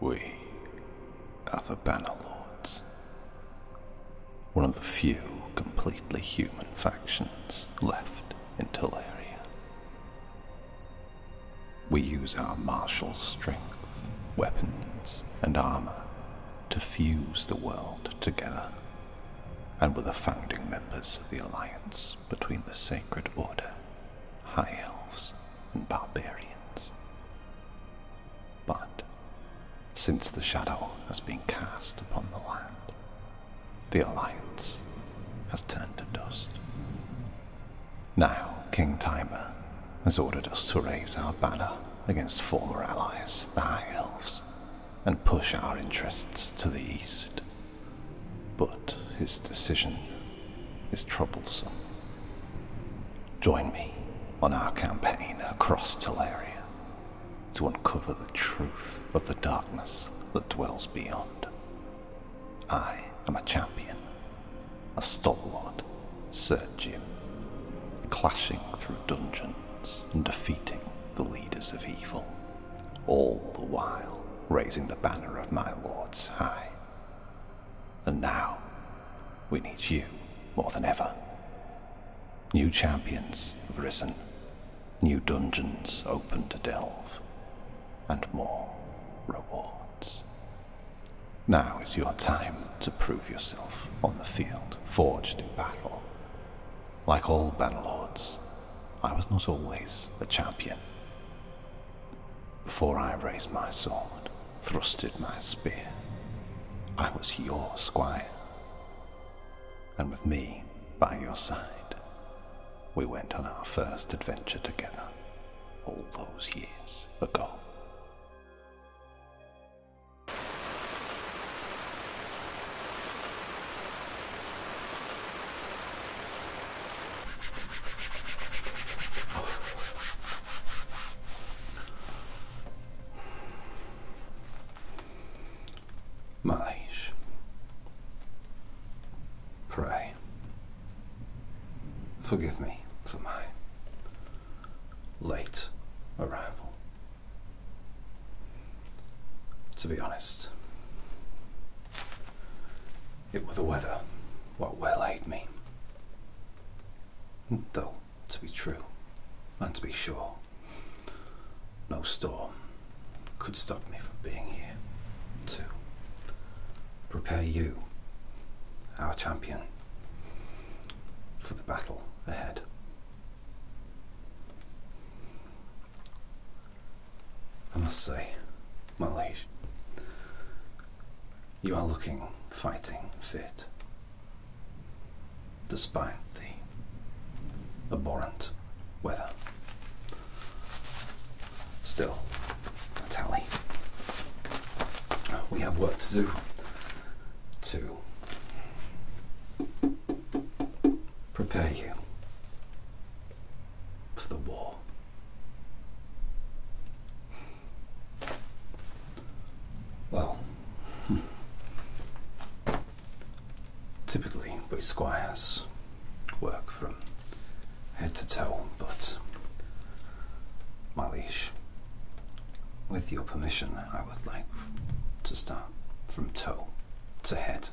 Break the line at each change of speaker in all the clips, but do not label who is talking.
We are the Banner Lords, one of the few completely human factions left in Teleria. We use our martial strength, weapons, and armor to fuse the world together, and were the founding members of the Alliance between the Sacred Order, High Elves, and Barbarians. But, since the shadow has been cast upon the land, the alliance has turned to dust. Now, King Tiber has ordered us to raise our banner against former allies, the High Elves, and push our interests to the east. But his decision is troublesome. Join me on our campaign across Teleria to uncover the truth of the darkness that dwells beyond. I am a champion, a stalwart Sergium, clashing through dungeons and defeating the leaders of evil all the while raising the banner of my lords high. And now, we need you more than ever. New champions have risen, new dungeons open to delve, and more rewards. Now is your time to prove yourself on the field forged in battle. Like all Banlords, I was not always a champion. Before I raised my sword, thrusted my spear, I was your squire. And with me by your side, we went on our first adventure together all those years ago. Malays, pray, forgive me for my late arrival to be honest. It were the weather what well aided me. Though, to be true, and to be sure, no storm could stop me from being here to prepare you, our champion, for the battle ahead. I must say, my liege, you are looking fighting fit, despite the abhorrent weather. Still, a tally. We have work to do to prepare you for the war. Well, typically we squires work from head to toe, but my liege, with your permission, I would like to start from toe to head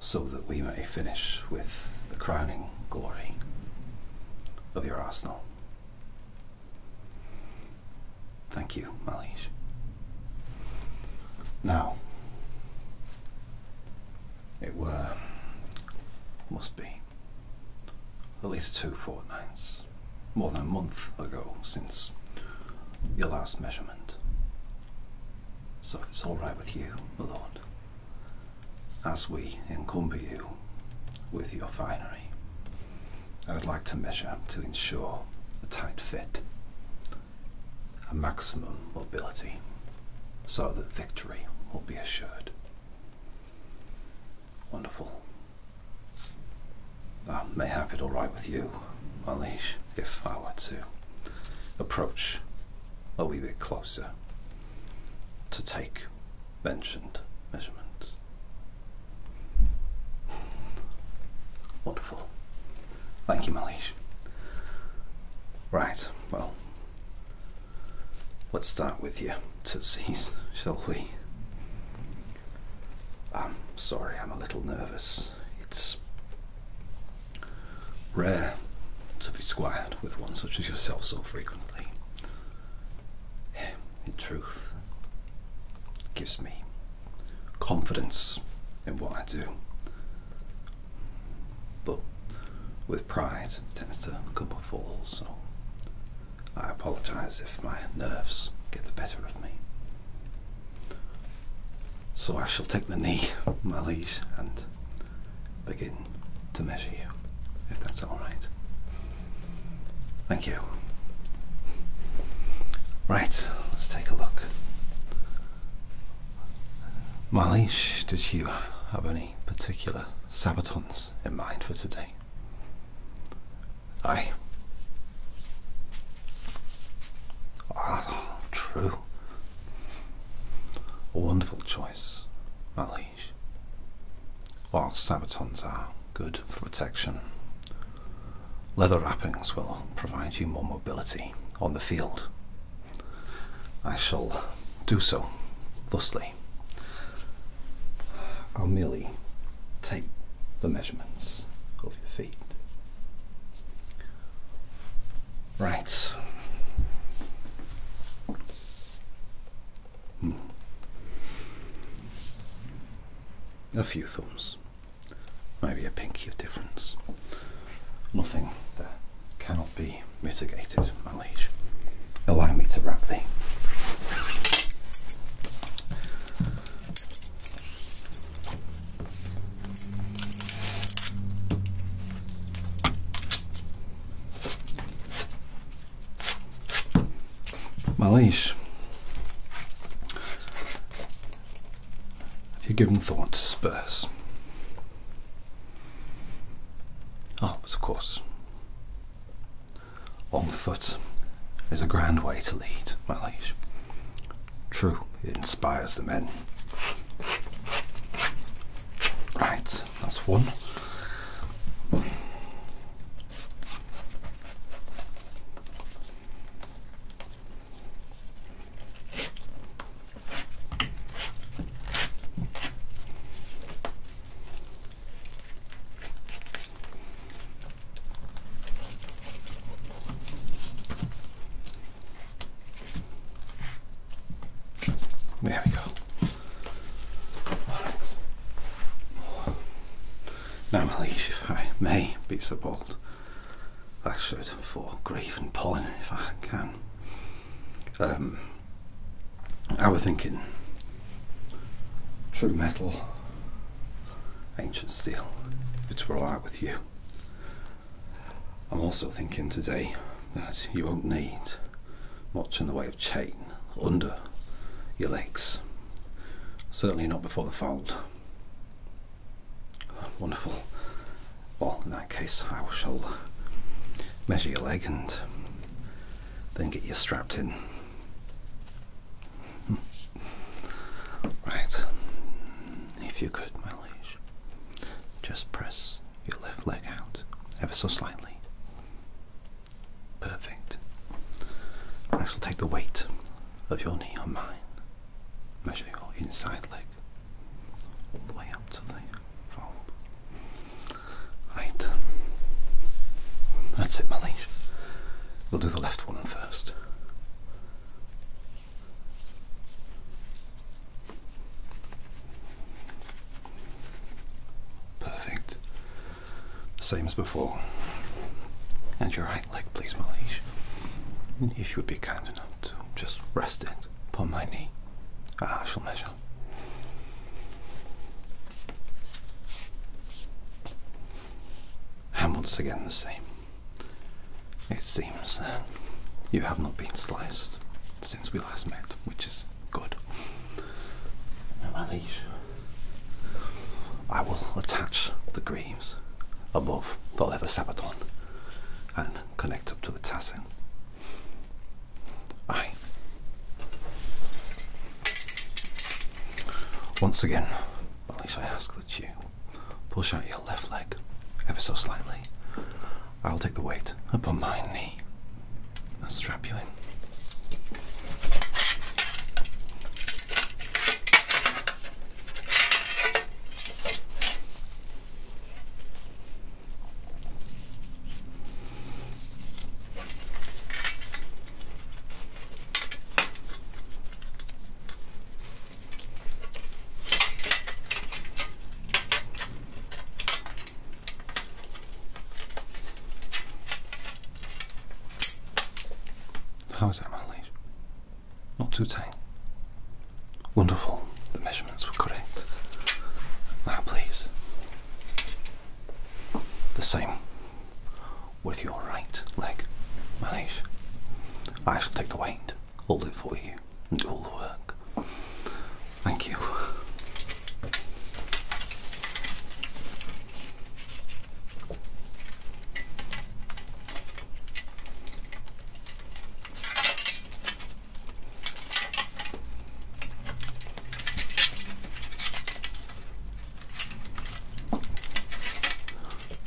so that we may finish with the crowning glory of your arsenal. Thank you, Malise. Now, it were, must be, at least two fortnights, more than a month ago since your last measurement. So it's all right with you, my lord, as we encumber you with your finery. I would like to measure to ensure a tight fit, a maximum mobility, so that victory will be assured. Wonderful. Ah, mayhap it's all right with you, my if I were to approach a wee bit closer to take mentioned measurements. Wonderful. Thank you, my Right, well, let's start with you, tootsies, shall we? I'm sorry, I'm a little nervous. It's Rare to be squared with one such as yourself so frequently. In truth, gives me confidence in what I do. But with pride tends to come a fall, so I apologise if my nerves get the better of me. So I shall take the knee, my and begin to measure you, if that's alright. Thank you. Right, let's take a look. My did you have any particular sabatons in mind for today? Aye. Ah, true. A wonderful choice, my liege. While sabatons are good for protection, leather wrappings will provide you more mobility on the field. I shall do so thusly. I'll merely take the measurements of your feet Right. Hmm. A few thumbs, maybe a pinky of difference. Nothing that cannot be mitigated, my liege. Allow me to wrap thee. Well, Ish, have you given thought to Spurs? Oh, of course. On foot is a grand way to lead, my True, it inspires the men. Right, that's one. There we go. Now my leash, if I may, be so bold. I should for grave and pollen if I can. Um, I was thinking true metal, ancient steel, if it's alright with you. I'm also thinking today that you won't need much in the way of chain under your legs. Certainly not before the fold. Wonderful. Well, in that case, I shall measure your leg and then get you strapped in right. If you could, my liege, just press your left leg out ever so slightly. Perfect. I shall take the weight of your knee on mine. Measure your inside leg all the way up to the fold. Right. That's it, my liege. We'll do the left one first. Perfect. Same as before. And your right leg, please, Malish. If you would be kind enough to just rest it upon my knee, I shall measure. And once again, the same. It seems that you have not been sliced since we last met, which is good. Now, leash. I will attach the greaves above the leather sabaton and connect up to the tassel. I once again at least I ask that you push out your left leg ever so slightly. I'll take the weight upon my knee I'll strap you in. How is that, my liege? Not too tight. Wonderful. The measurements were correct. Now, please. The same with your right leg. Manish, I shall take the weight, hold it for you, and do all the work. Thank you.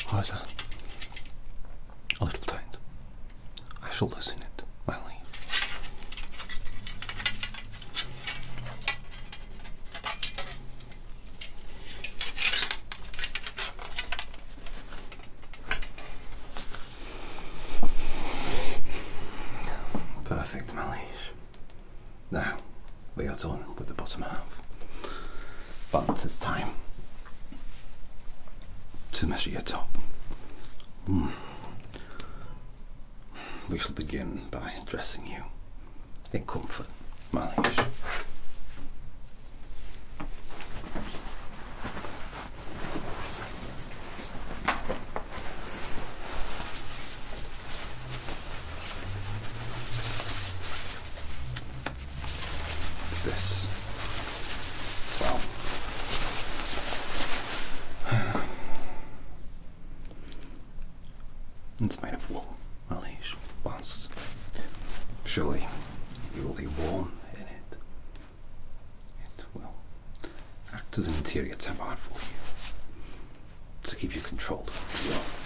How's oh, that? A little tight. I shall loosen it when I Perfect, my liege. Now, we are done with the bottom half. But it's time to measure your top. Hmm. We shall begin by dressing you in comfort, my liege this. well, It's made of wool, Malish. Once. Surely you will be warm in it. It will act as an interior tampon for you to keep you controlled.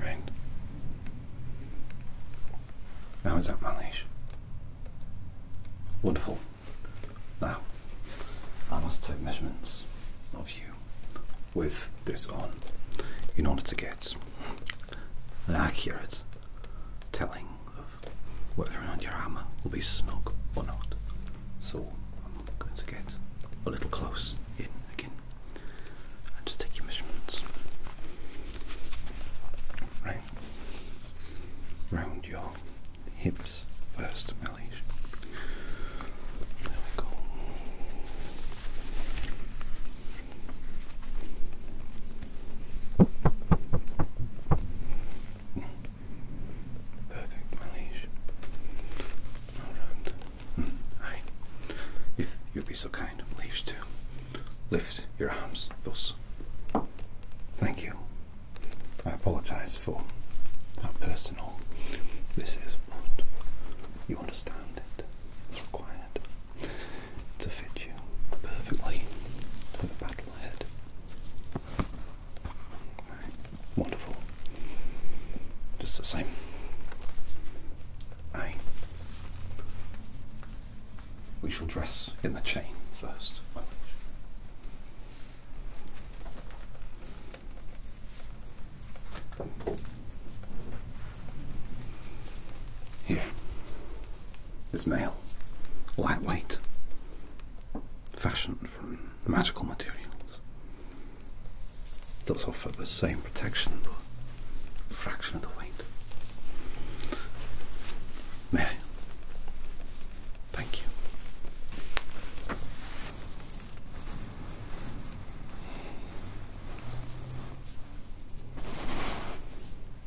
Right. Now is that managed? Wonderful. Now, I must take measurements of you with this on in order to get an accurate telling of whether or not your armour will be snug or not. So I'm going to get a little close in again and just take your measurements. Right. Round your hips first, Melly. There we go. Perfect, my liege. Alright. Mm, If you'll be so kind, liege, to lift your arms thus. Thank you. I apologise for our personal this is, but you understand it. It's required to fit you perfectly for the battle ahead. Wonderful. Just the same. I. We shall dress in the chain first. Here. This mail, lightweight, fashioned from magical materials. does offer the same protection, but a fraction of the weight. May Thank you.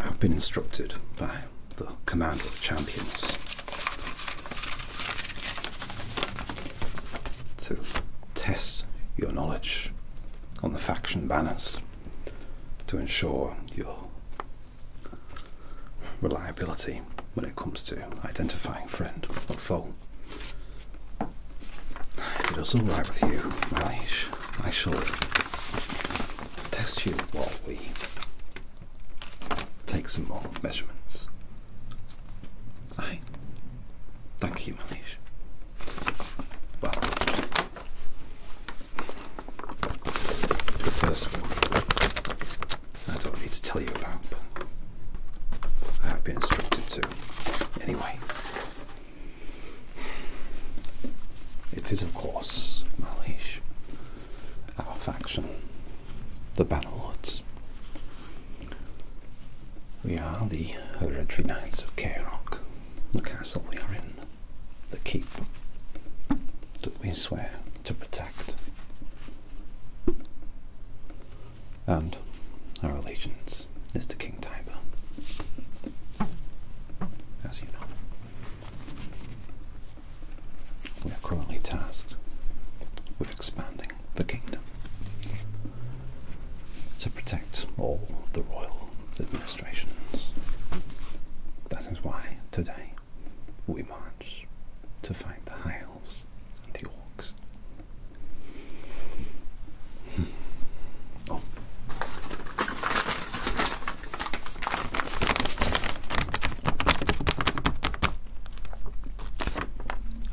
I've been instructed by the Commander of the Champions to test your knowledge on the faction banners to ensure your reliability when it comes to identifying friend or foe. If it is alright with you, my liege, I shall test you while we take some more measurements. Aye. Thank you, Manish. Well, the first one I don't need to tell you about, I have been instructed to. Anyway, it is, of course, our faction, the Bannerlords. We are the Hereditary Knights of Kairok, the castle we are in, the keep that we swear to protect, and our allegiance Mr. King Tiber. As you know, we are currently tasked with expanding the kingdom to protect all the royal administrations. That is why today we march to fight the high elves and the orcs. Oh.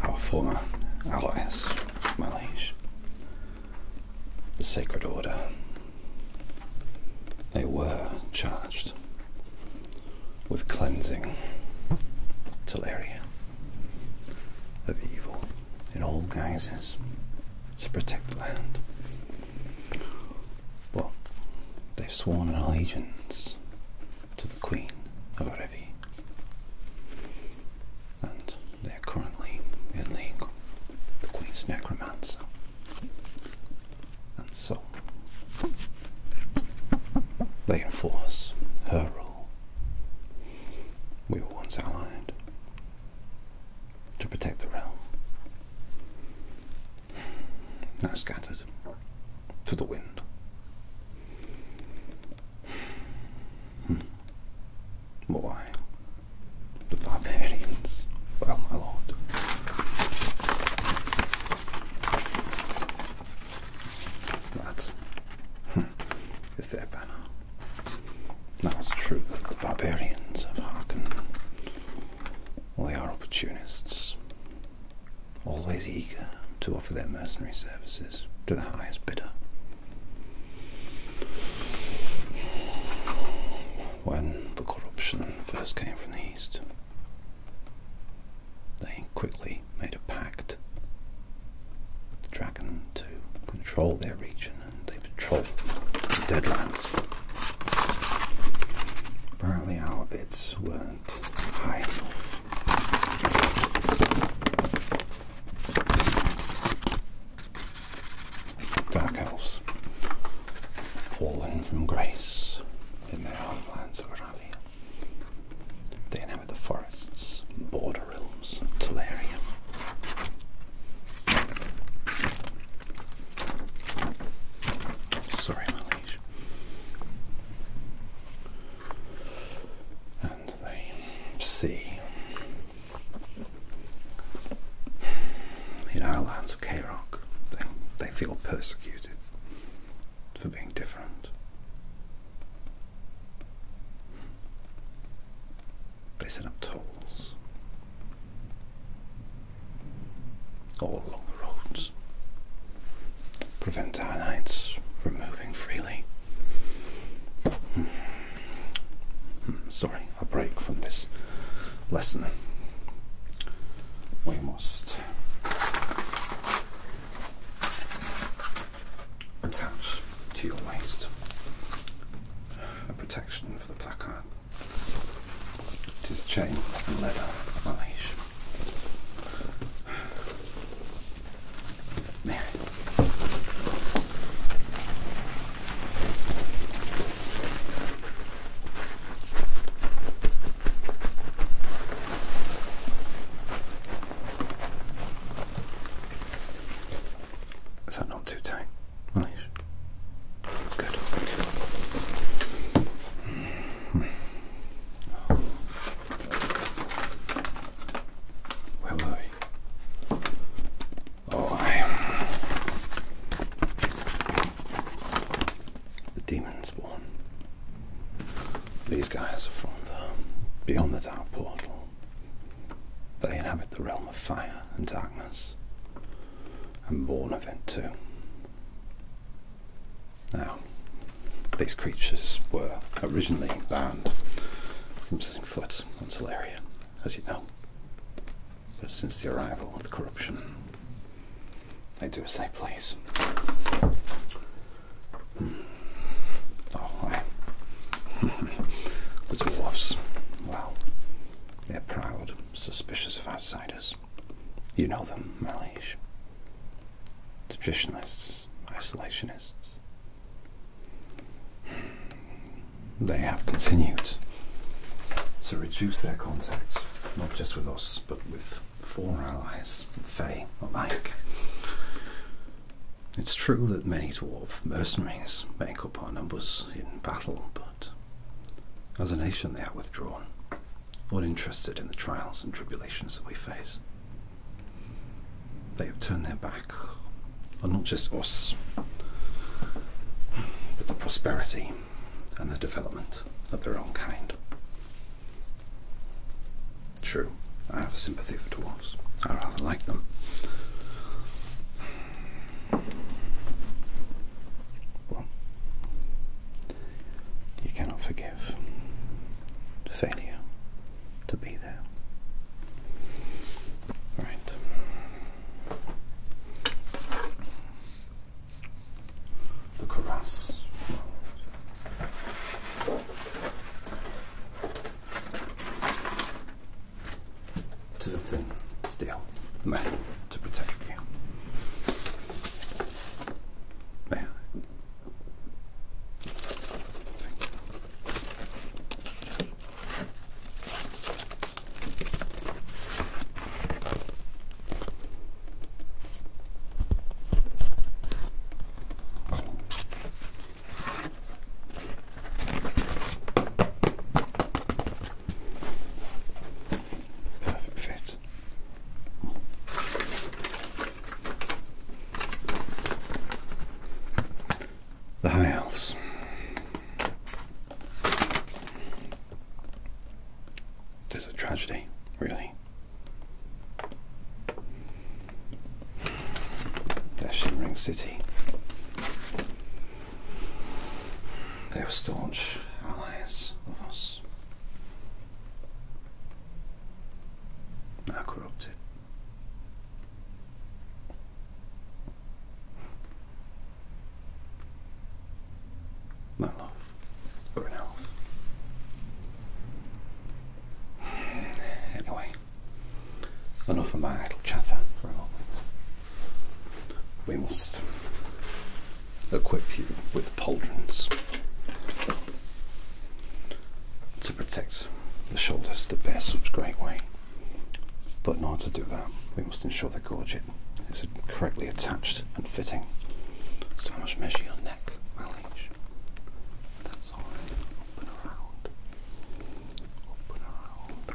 Our former allies, my the Sacred Order, they were charged with cleansing Teleria of evil in all guises to protect the land. But they've sworn allegiance to the Queen of Arevi, and they're currently in the Queen's necromancer. And so they enforce her rule. We were once allied, to protect the realm. Now scattered to the wind. Hmm. The barbarians. Well, my lord. That hmm, is their banner. Now it's true that the barbarians have hearkened. they are opportunists, always eager to offer their mercenary services to the highest bidder. When the corruption first came from the east, they quickly made a pact with the dragon to control their region they patrol the deadlines. Apparently, our bids weren't high enough. Dark elves, fallen from grace in their homelands of Aralia. They inhabit the forests, border. Border Realms Tularia. Sorry, my liege. And the sea. In our lands of k they, they feel persecuted for being different. They set up tolls all along the roads, prevent our knights from moving freely. Hmm. sorry, a break from this lesson. We must Attached to your waist a protection for the placard. It is chain and leather varnish. There. Is that not too tight? Nice. Good. Where were we? Oh, The demons born. These guys are from the Beyond the Dark portal. They inhabit the realm of fire and darkness, and born of it too. Now, these creatures were originally banned from Foot and Solaria, as you know. But since the arrival of the corruption, they do as they please. Hmm. Oh, hi. the dwarfs. Well, they're proud, suspicious of outsiders. You know them, Malish. Traditionalists, isolationists. They have continued to reduce their contacts, not just with us, but with former allies, Fey Mike. It's true that many dwarf mercenaries make up our numbers in battle, but as a nation they are withdrawn, uninterested in the trials and tribulations that we face. They have turned their back on not just us, but the prosperity and the development of their own kind. True, I have sympathy for dwarfs. I rather like them. Well, you cannot forgive failure to be there. Right. The cuirass. It is a thin steel metal to protect you. There. you. Perfect fit. The High Elves. It is a tragedy, really their shimmering city. They were staunch allies of us. Now corrupted. My love, we're in Anyway, Enough of my idle chatter for a moment. We must equip you with pauldrons to protect the shoulders that bear such great weight. But in order to do that, we must ensure the gorget is correctly attached and fitting. So I must measure your neck, That's all right up around, up around.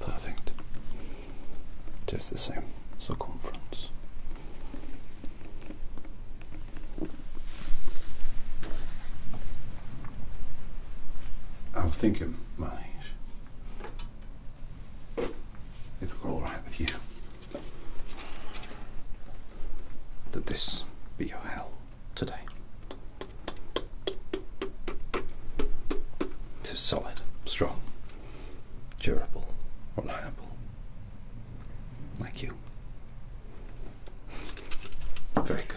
Perfect. Just the same circumference. I'm thinking, my age. if we're all right with you that this be your hell today. It is solid, strong, durable, reliable, like you. Very good.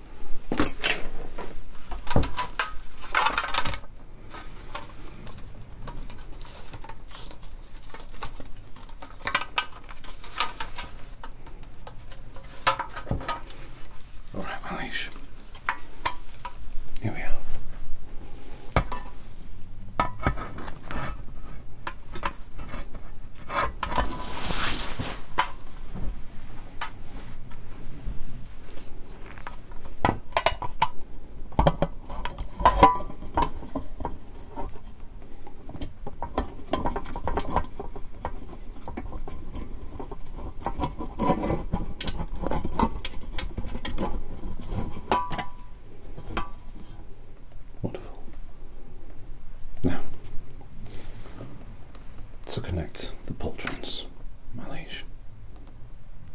All right, my leash. Here we are. Wonderful. Now, to connect the poltrons, my liege.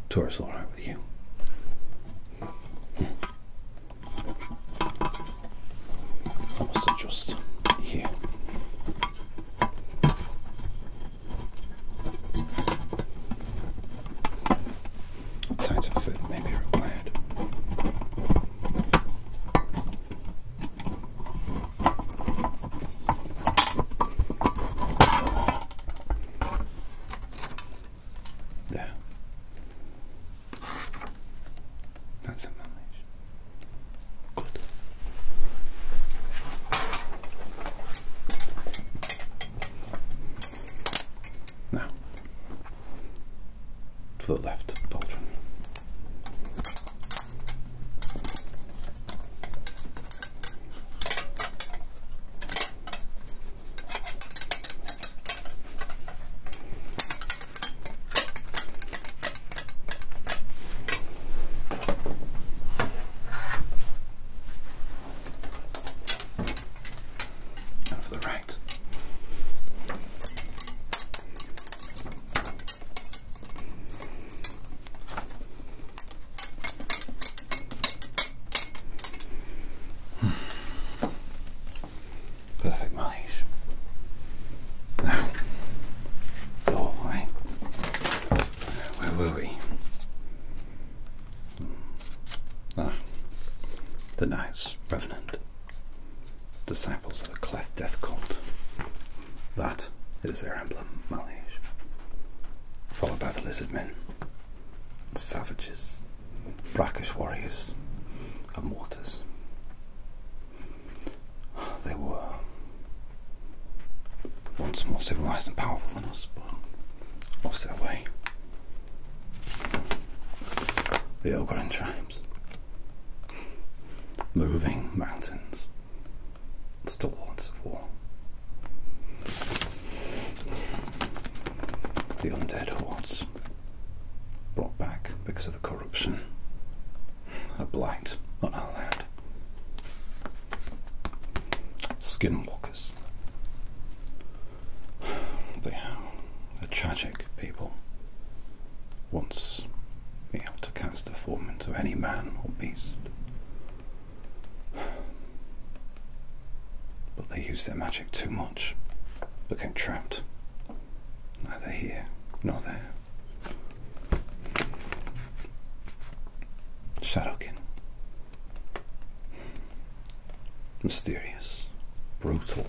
Taurus, all right with you. I must adjust here. tighter fit may be required. There. That's a manage. Good. Now, to the left, Baldwin. Over the right. Perfect mileage. Now, doorway. Where were we? Ah, the Knight's Revenant. Disciples of the Cleft Death Cult. That is their emblem, Malage. Followed by the lizard men, savages, brackish warriors, and waters. They were once more civilized and powerful than us, but lost their way. The Ogoran tribes moving mountains, stalwarts of war. The undead hordes, brought back because of the corruption, a blight on our land. Skinwalkers. They are a tragic people. Once out to cast the foreman of any man or beast. But they use their magic too much, but get trapped, neither here nor there. Shadowkin. Mysterious, brutal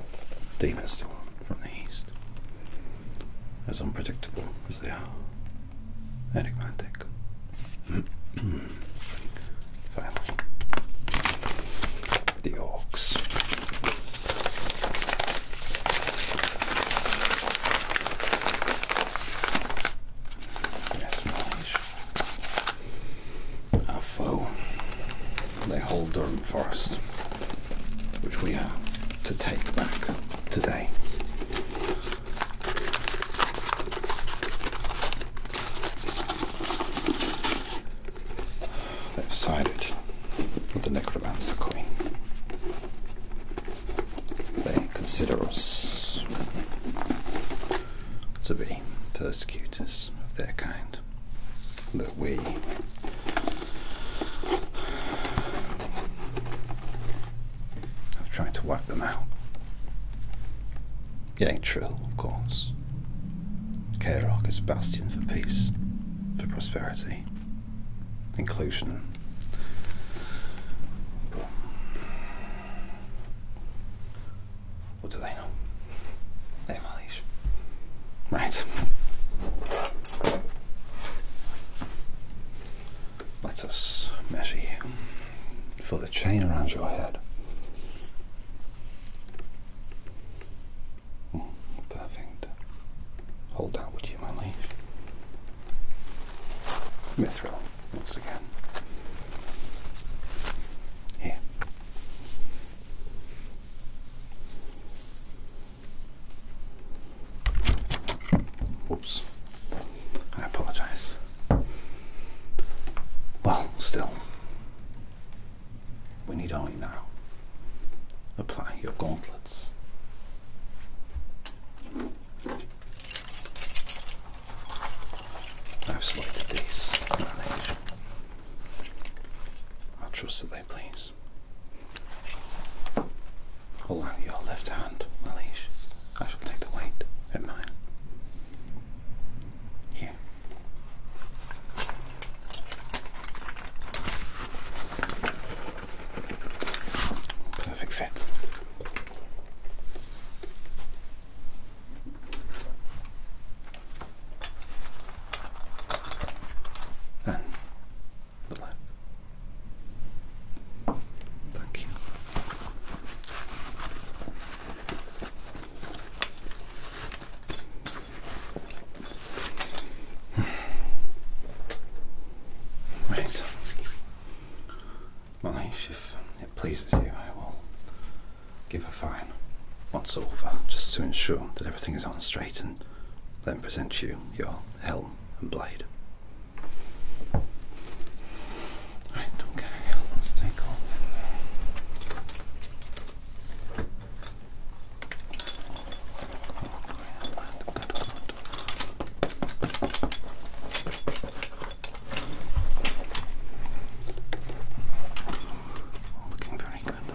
demon storm from the east as unpredictable as they are enigmatic. Finally, the orcs. Yes, Malish. Our foe. They hold Durham Forest, which we have to take back today. They've sided with the Necromancer queen. They consider us to be persecutors of their kind. That we I've tried to wipe them out. It ain't true, of course. Kairok is a bastion for peace, for prosperity, inclusion. But what do they know? They're Malaysian. Right. Let us measure you for the chain around your head. Mm, perfect. Hold that, with you, my liege? Mithril, once again. Here. Oops! I apologize. Well, still, we need only now apply your gauntlets. I've selected these. I'll trust that they please. Hold out your left hand, my I shall take the weight at mine. Here. Perfect fit. Then Thank you. Right. Well, if it pleases you, I will give a fine once over just to ensure that everything is on straight and then present you your helm and blade. okay, let's take off. Looking very good.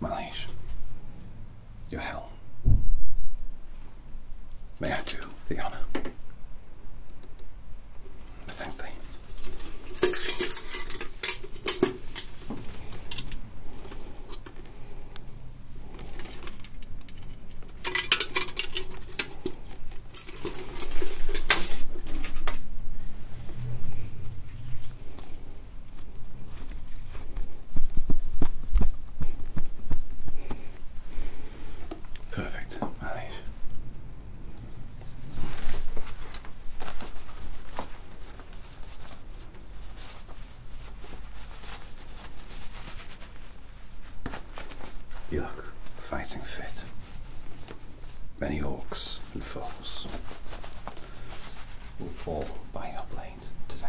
Malaysia, your help. May I do the honor? I thank thee. Perfect, my You look fighting fit. Many hawks and foes will fall by your blades today.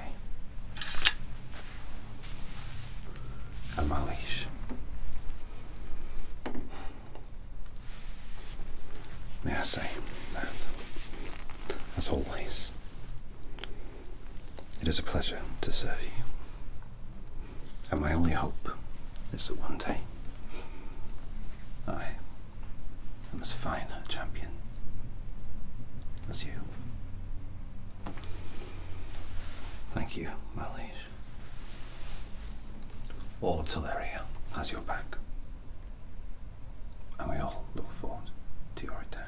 And my leash. May I say that, as always, it is a pleasure to serve you. And my only hope is that one day I I must fine a champion. It was you. Thank you, my liege. All of Teleria has your back. And we all look forward to your return.